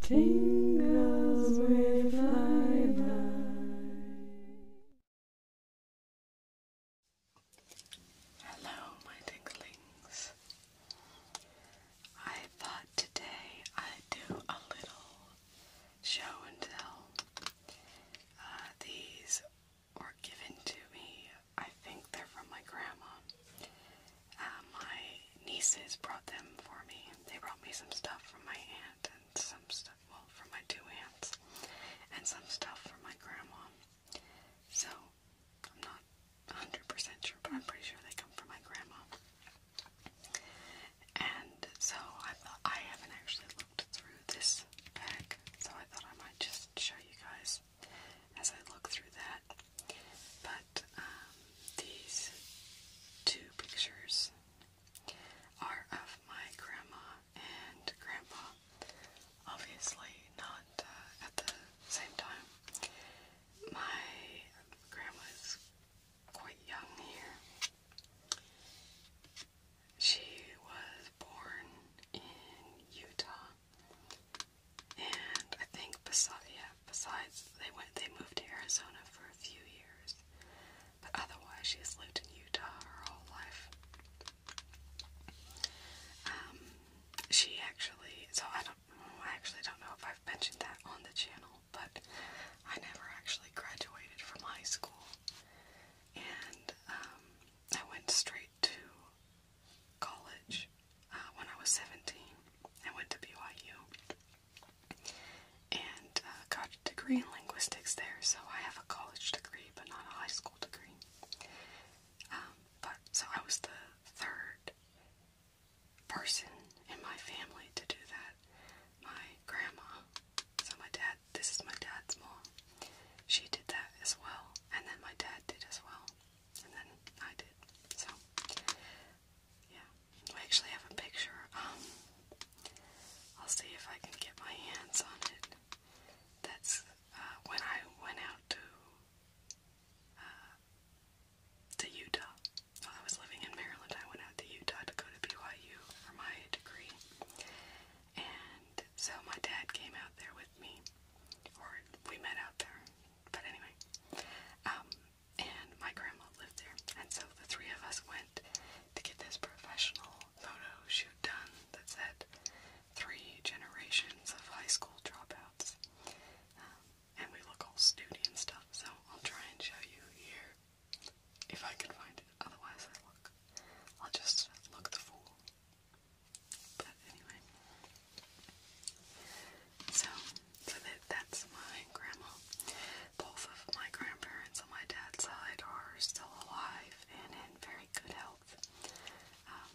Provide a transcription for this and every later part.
Tingles with Hello, my tinglings. I thought today I'd do a little show and tell. Uh, these were given to me, I think they're from my grandma uh, my nieces brought them for me. They brought me some stuff from my aunt and some stuff, well, from my two aunts, and some stuff from my grandma. So, I'm not 100% sure, but I'm pretty sure they come from my grandma. And so, I thought I haven't actually looked through this bag, so I thought I might just show you guys as I look through that. But um, these two pictures are of my grandma and grandpa. Obviously, not uh, at the same time. My grandma is quite young here. She was born in Utah and I think besides, besides they went, they moved to Arizona for a few years, but otherwise she's lived in Utah her whole life. Um, she actually, so I don't, I actually don't know if I've mentioned that on the channel, but I never actually graduated from high school, and um, I went straight to college uh, when I was 17. I went to BYU and uh, got a degree in linguistics there. So I have a college degree, but not a high school degree. Um, but so I was the third person in my family to do that. My grandma, so my dad, this is my dad's mom. She did that as well, and then my dad did as well, and then I did. So yeah, I actually have a picture. Um, I'll see if I can get my hands on it. That's uh, when I went out to uh, to Utah. I was living in Maryland, I went out to Utah to go to BYU for my degree. And so my dad came out there with me, or we met out there. But anyway, um, and my grandma lived there. And so the three of us went to get this professional photo shoot done that said three generations of high school dropouts. Um, and we look all snooty and stuff, so I'll try and show you here if I can find it. Otherwise, I will look. I'll just look the fool. But anyway. So, so that, that's my grandma. Both of my grandparents on my dad's side are still alive and in very good health. Um,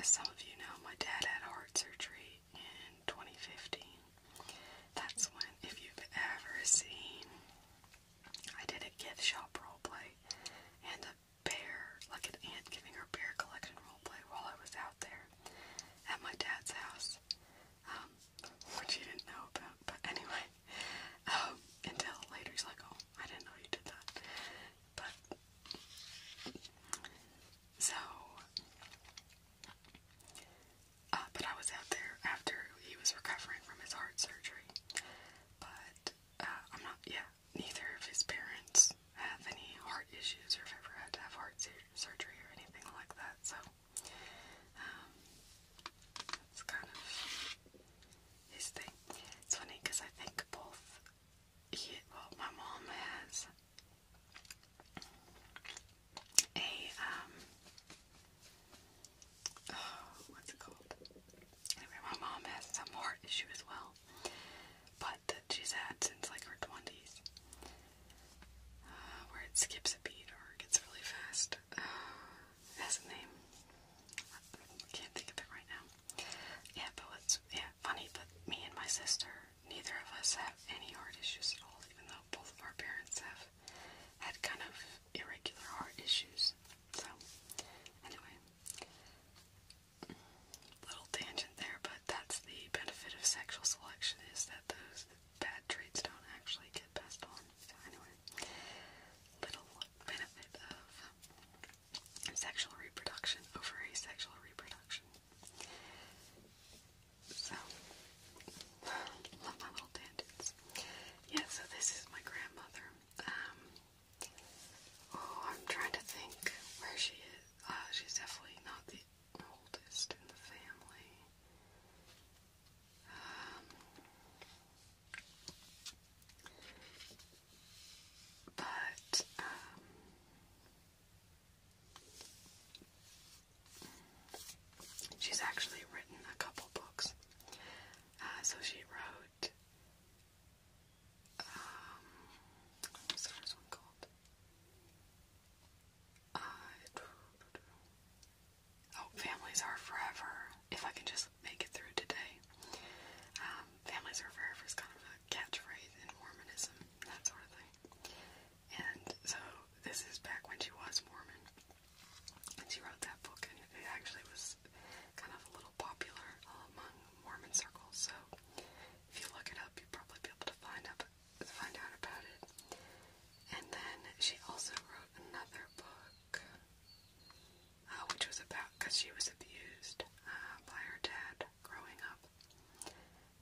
as some of you know, my dad had heart surgery in 2015. That's when, if you've ever seen, I did a gift shop roleplay and a bear, like an aunt giving her bear collection roleplay while I was out there at my dad's house, um, which he didn't know about, but anyway, um, until later he's like, oh, I didn't know you did that, but, so, uh, but I was out there after he was recovering from his heart surgery, but, uh, I'm not, yeah, neither of his parents have any heart issues or if I've ever had to have heart surgery or anything like that. So um, kind of his thing. It's funny because I think both he, well, my mom has a um. Oh, what's it called? Anyway, my mom has some heart issue as well, but she's had since like her twenties, uh, where it skips a beat or gets really fast. Uh, it name. can't think of it right now. Yeah, but what's yeah funny? But me and my sister, neither of us have any heart issues at all, even though both of our parents have had kind of irregular heart issues. So anyway, little tangent there, but that's the benefit of sexual selection is that those bad traits don't actually get passed on. So little benefit of sexual reproduction over asexual reproduction. So, love my little tangents. Yeah, so this is my grandmother. Um, oh, I'm trying to think where she is. Uh, she's definitely not the oldest in the family. Um, but um, she's actually written a couple books. Uh, so she wrote. Um, what was one called? Uh, oh, families are forever. If I can just make it through today. Um, families are forever is kind of a catchphrase in Mormonism, that sort of thing. And so this is back when she was Mormon. And she wrote that book, and it actually was kind of a little popular uh, among Mormon circles. So if you look it up, you'll probably be able to find a up, find out about it. And then she also wrote another book, uh, which was about because she was abused uh, by her dad growing up.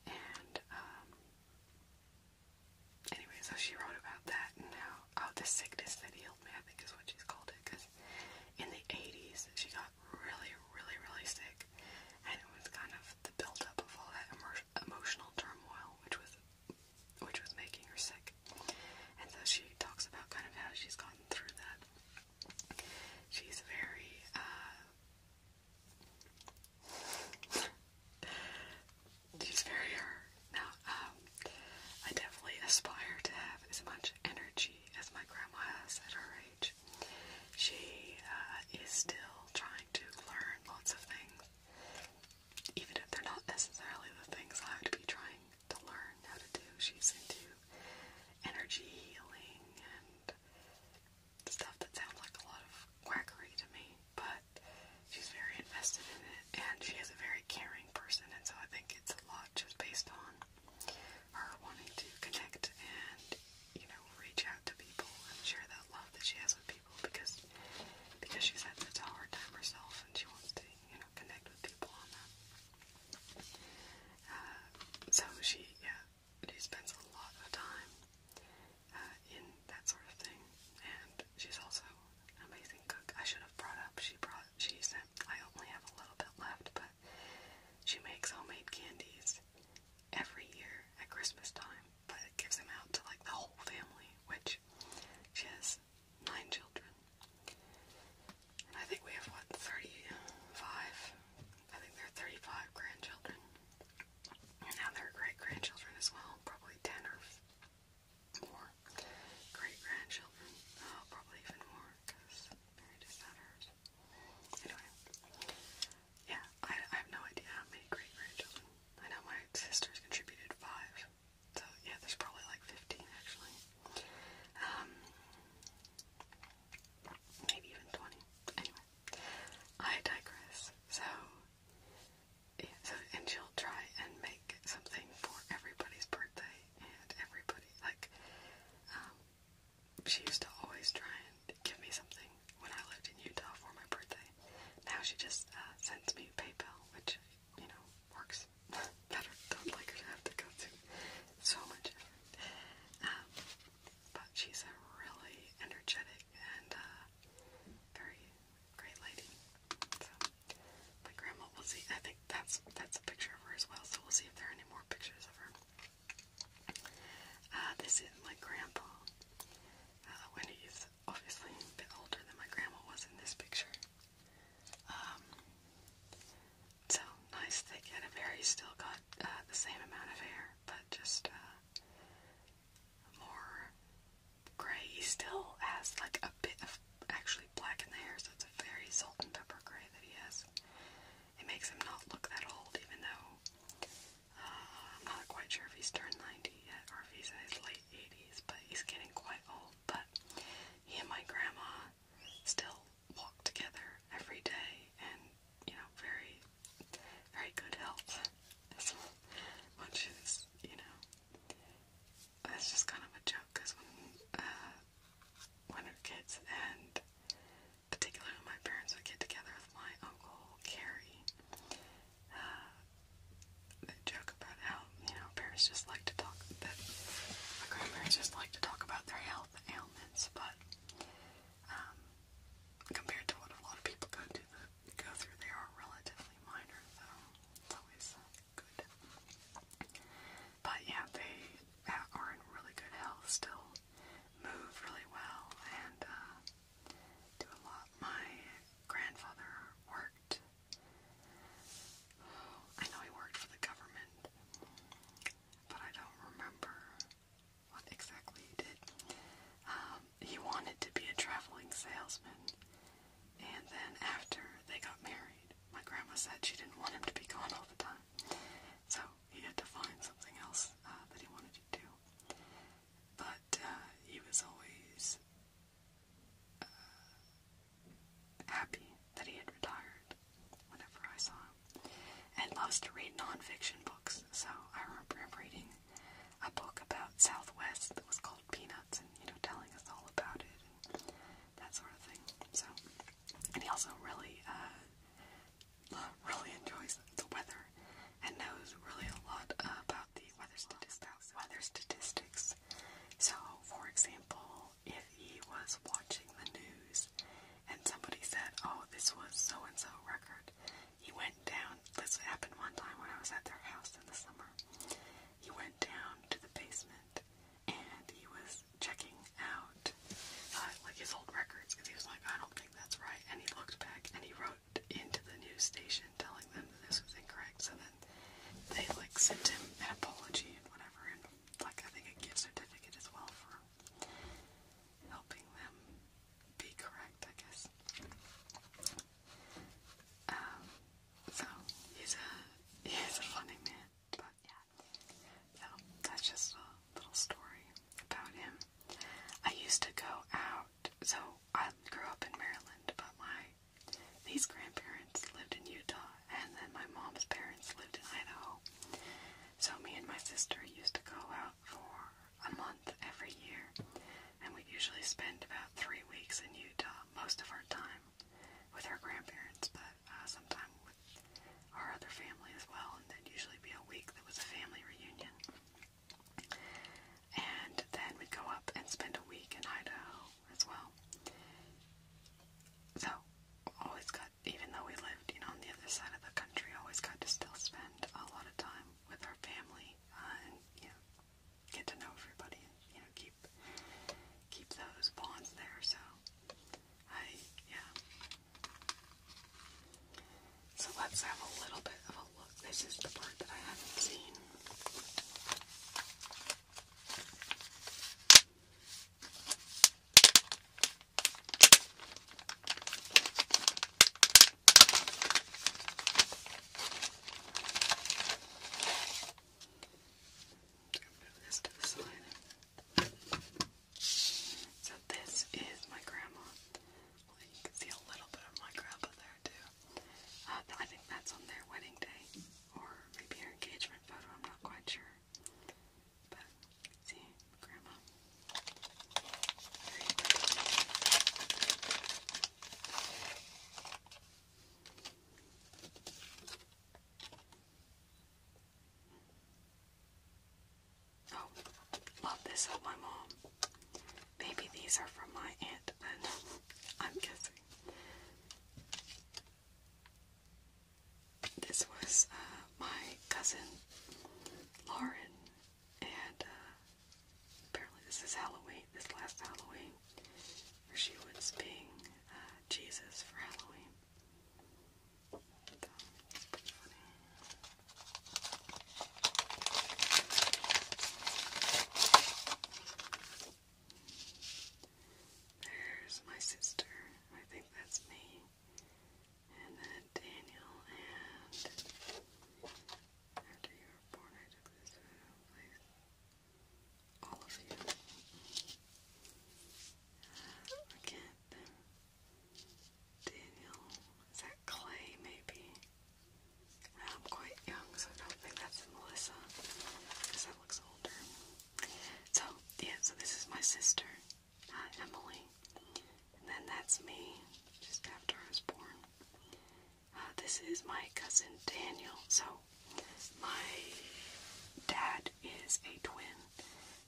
And um, anyway, so she wrote about that and how oh, the sickness that healed me, I think is what she's called it. Because in the 80s, she got really, really, really sick and it was kind of the buildup of all that emo emotional turmoil, which was which was making her sick. And so she talks about kind of how she's gotten through that. She's very uh, she's very her. Uh, now, um, I definitely aspire to have as much energy as my grandma has at her age. She uh, is still trying to learn learn lots of things, even if they're not necessarily the things I would be trying to learn how to do. She's into energy healing and stuff that sounds like a lot of quackery to me, but she's very invested in it and she is a very caring person, and so I think it's a lot just based on her wanting to connect and you know, reach out to people and share that love that she has with people because because she's had such a hard time herself and she wants to, you know, connect with people on that. Uh, so she, yeah, she spends a lot of time uh, in that sort of thing, and she's also an amazing cook. I should have brought up she brought she sent. I only have a little bit left, but she makes homemade candies every year at Christmas time but it gives them out to like the whole family, which she has nine children. I think we have what, 35? I think there are 35 grandchildren. now there are great grandchildren as well, probably 10 or more great grandchildren, oh, probably even more because married is not hers. Anyway, yeah, I, I have no idea how many great grandchildren. I know my sisters contributed five, so yeah, there's probably like 15 actually. Um, maybe even 20. Anyway, I digress. So, yeah, so and she'll try and make something for everybody's birthday and everybody. Like, um, she used to always try and give me something when I lived in Utah for my birthday. Now she just uh, sends me PayPal, which, you know, works better. Don't like her to have to go through so much effort. Um, but she's a really energetic and uh, very great lady. So, my grandma, we'll see. I think that's that's a picture of her as well, so we'll see if there are any more pictures of her. Uh, this is my grandpa. Uh, when he's obviously a bit older than my grandma was in this picture. Um, so nice thick head of hair. He's still got uh, the same amount of hair, but just uh, more gray. He still has like a bit of actually black in the hair, so it's a very salt and pepper gray that he has. It makes him not look that old, even though uh, I'm not quite sure if he's turned 90 yet or if he's in his late 80s, but he's getting quite old. But he and my grandma still walk together every day and, you know, very, very good health. Which is, you know, that's just kind of a joke because when, uh, when our kids and particularly when my parents would get together with my uncle Carrie, uh, the joke about how you know parents just like to talk that my grandparents just like to talk about their health ailments, but um, compared to what a lot of people go to the, go through, they are relatively minor, so it's always uh, good. But yeah, they are in really good health still, move really well, and. Uh, do a lot. My grandfather worked. I know he worked for the government, but I don't remember what exactly he did. Um, he wanted to be a traveling salesman, and then after they got married, my grandma said she didn't want him to be gone all the time, so he had to find something else uh, that he wanted to do but uh, he was always uh, happy that he had retired whenever I saw him, and loves to read nonfiction books. So I remember him reading a book about Southwest that was called Peanuts, and you know, telling us all about it and that sort of thing. So, and he also really, uh, really enjoys the weather and knows really a lot about the weather statistics. Weather statistics. So, for example, if he was watching the news and somebody said, "Oh, this was so and so record," he went down. This happened one time when I was at their house in the summer. He went down to the basement and he was checking out uh, like his old records because he was like, "I don't think that's right," and he looked back and he wrote out into the news station telling them that this was incorrect, so then they like sent him an apology and whatever, and like I think a gift certificate as well for helping them be correct, I guess. Um, so he's a he's a funny man, but yeah. So that's just a little story about him. I used to go out out. So I grew up in Maryland, but my these grandparents lived in Utah, and then my mom's parents lived in Idaho. So me and my sister used to go out for a month every year, and we'd usually spend about three weeks in Utah most of our time with our grandparents, but uh, sometimes with our other family as well, and that'd usually be a week that was a family reunion. And then we'd go up and spend a week in Idaho as well. So, always got, even though we lived, you know, on the other side of the country, always got to still spend a lot of time with our family uh, and, you know, get to know everybody and, you know, keep, keep those bonds there. So, I, yeah. So let's have a little bit of Oh, look, this is the part that I haven't seen. Move this to the side. So this is my grandma. you can see a little bit of my grandpa there. Um, I think that's on their wedding day, or maybe engagement photo. I'm not quite sure. But see, Grandma. Oh, love this of my mom. Maybe these are from my aunt I'm guessing. This was uh, my cousin Lauren, and uh, apparently this is Halloween, this last Halloween, where she was being uh, Jesus for Halloween. There's my sister. I think that's me. And then Daniel after you were born I took this place. All of you. Uh, forget Daniel. Is that Clay maybe? I'm quite young, so I don't think that's Melissa, because that looks older. So, yeah, so this is my sister, uh, Emily, and then that's me, just after I was born. Uh, this is my cousin Daniel, so my dad is a twin.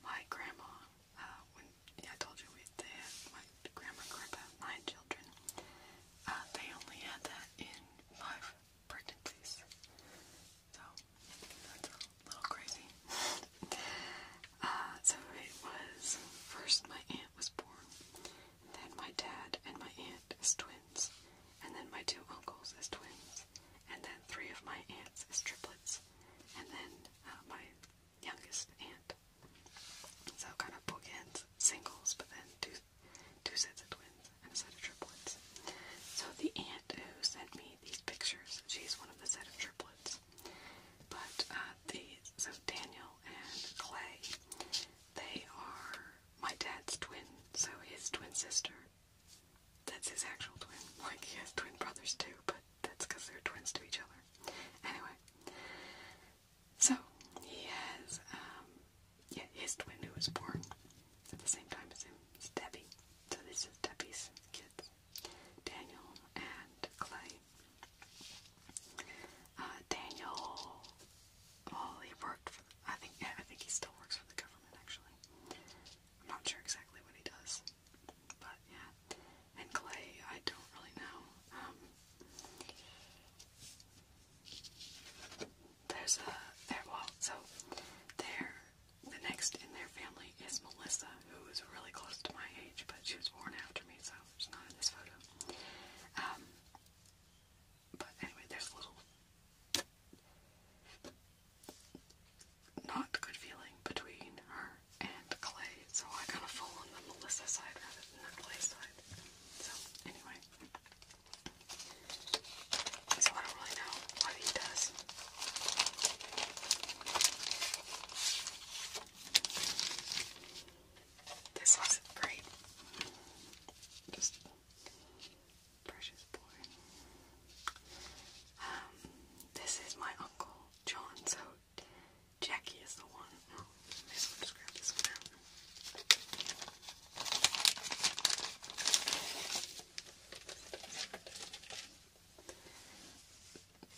My grandma, uh, when yeah, I told you we, they had, my grandma and grandpa had nine children. Uh, they only had that in five pregnancies. So that's a little crazy. Uh, so it was first my aunt was born, and then my dad and my aunt as twins, and then my two uncles as twins, and then three of my aunts as triplets, and then uh, my youngest aunt. So kind of bookends singles, but then two two sets of twins, and a set of triplets. So the aunt who sent me these pictures, she's one of the set of triplets. But uh, so Daniel and Clay, they are my dad's twin, so his twin sister. That's his actual twin. Like, he has twin brothers too, but that's because they're twins to each other. Anyway, so he has, um, yeah, his twin who was born at the same time as him is Debbie. So this is Debbie's kids, Daniel and Clay. Uh, Daniel, well, he worked for, I think, I think he still works for the government actually. I'm not sure exactly what he does, but yeah. And Clay, I don't really know. Um, there's a there well so there the next in their family is Melissa, who is really close to my age, but she was born after me, so she's not in this photo. Um, but anyway, there's a little not good feeling between her and Clay, so I kind of fall on the Melissa side rather than the Clay side. So anyway, so I don't really know what he does. This was great. precious boy. Um, this is my uncle John, so Jackie is the one. Oh, I just grab this one out.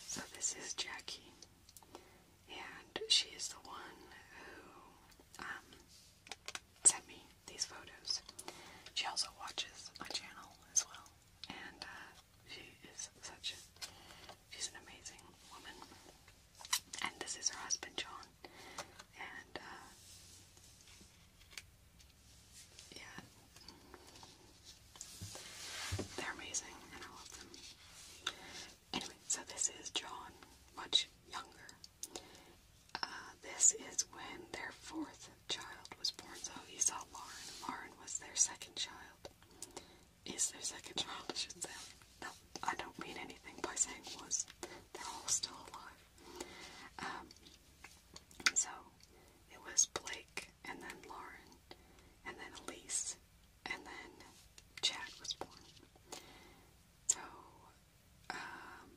So this is Jackie, and she is the one who um, sent me these photos. She also watches my channel as well, and uh, she is such a she's an amazing woman. And this is her husband John. And, uh, yeah, they're amazing and I love them. Anyway, so this is John, much younger. Uh, this is when their fourth child was born, so he saw Lauren. Lauren was their second child. Is their second child, I should say. No, I don't mean anything by saying was. They're all still alive. Um, so it was Blake, and then Lauren, and then Elise, and then Chad was born. So um,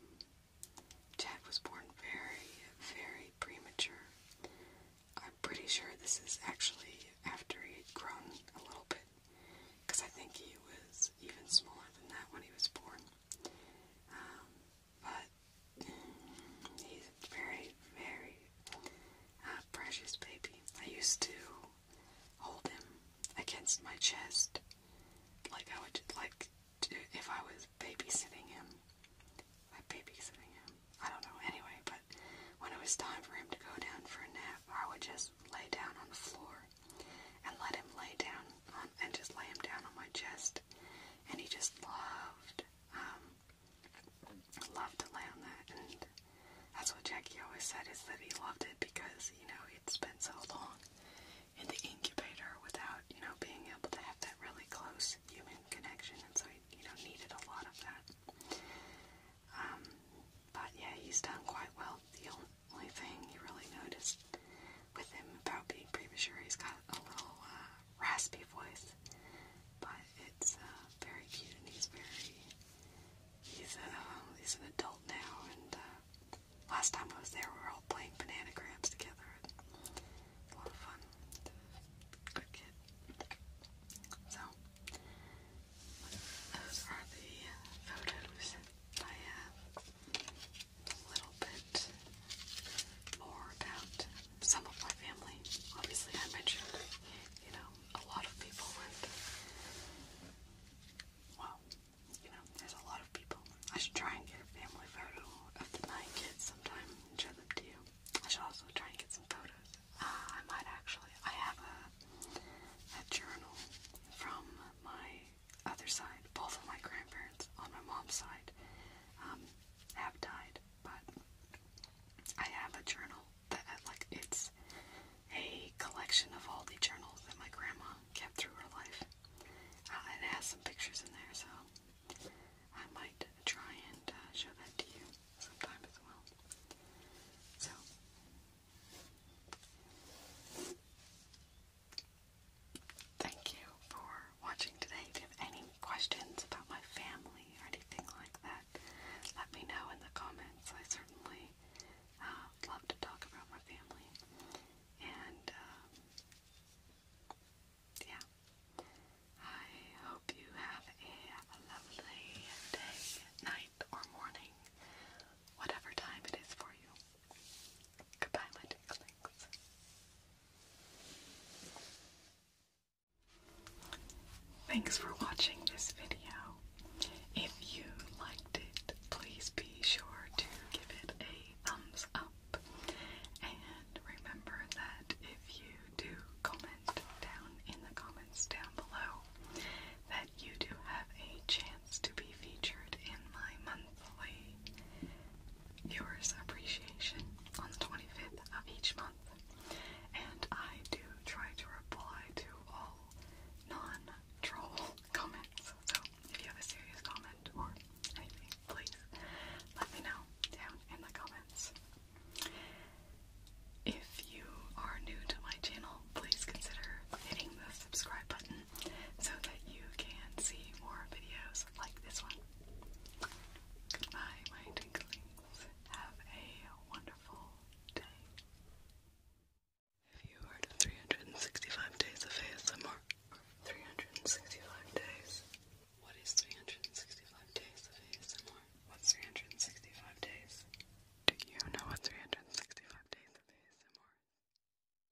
Chad was born very, very premature. I'm pretty sure this is actually after he had grown a little bit, because I think he was even smaller than that when he was born. Um, but he's very, very uh, precious baby. I used to hold him against my chest, like I would like if I was babysitting him. Like babysitting him. I don't know. Anyway, but when it was time for him to go down for a nap, I would just lay down on the floor and let him lay down on and just lay him down on my chest. And he just loved, um, loved to lay on that. And that's what Jackie always said is that he loved it because, you know, it's been so long in the incubator without, you know, being able to have that really close human connection. And so he, you know, needed a lot of that. Um, but yeah, he's done quite well. He'll only thing you really noticed with him about being premature, he's got a little uh, raspy voice, but it's uh, very cute and he's very, he's, uh, he's an adult now and uh, last time I was there we were all playing banana grams together. It's a lot of fun. Good kid. So, those are the photos I have. Uh, a little bit more about some of my family. Obviously, I mentioned, you know, a lot of people Well, you know, there's a lot of people. I should try and get a family photo of the nine kids sometime and show them to you. I should also try and get some photos. Ah, I might actually. I have a, a journal from my other side, both of my grandparents on my mom's side um, have died, but I have a journal that, uh, like, it's a collection of all the journals that my grandma kept through her life. Uh, has some pictures in there, so I might try and uh, show that to you sometime as well. So, Thank you for watching today. If you have any questions about my family or anything like that, let me know in the comments. I certainly uh, love to talk about my family. And, um, yeah. I hope you have a lovely day, night, or morning, whatever time it is for you. Goodbye, my tinklings. Thanks for watching this video. If you liked it, please be sure to give it a thumbs up. And remember that if you do comment down in the comments down below, that you do have a chance to be featured in my monthly viewers appreciation on the 25th of each month. And I do try to reply to all non-troll comments. So if you have a serious comment or anything, please let me know down in the comments. If you are new to my channel, please consider hitting the subscribe button so that you can see more videos like this one. Goodbye, my tinklings. Have a wonderful day. Have you heard of 365 days of ASMR? 365 days. What is 365 days of ASMR? What's 365 days? Do you know what 365 days of ASMR is?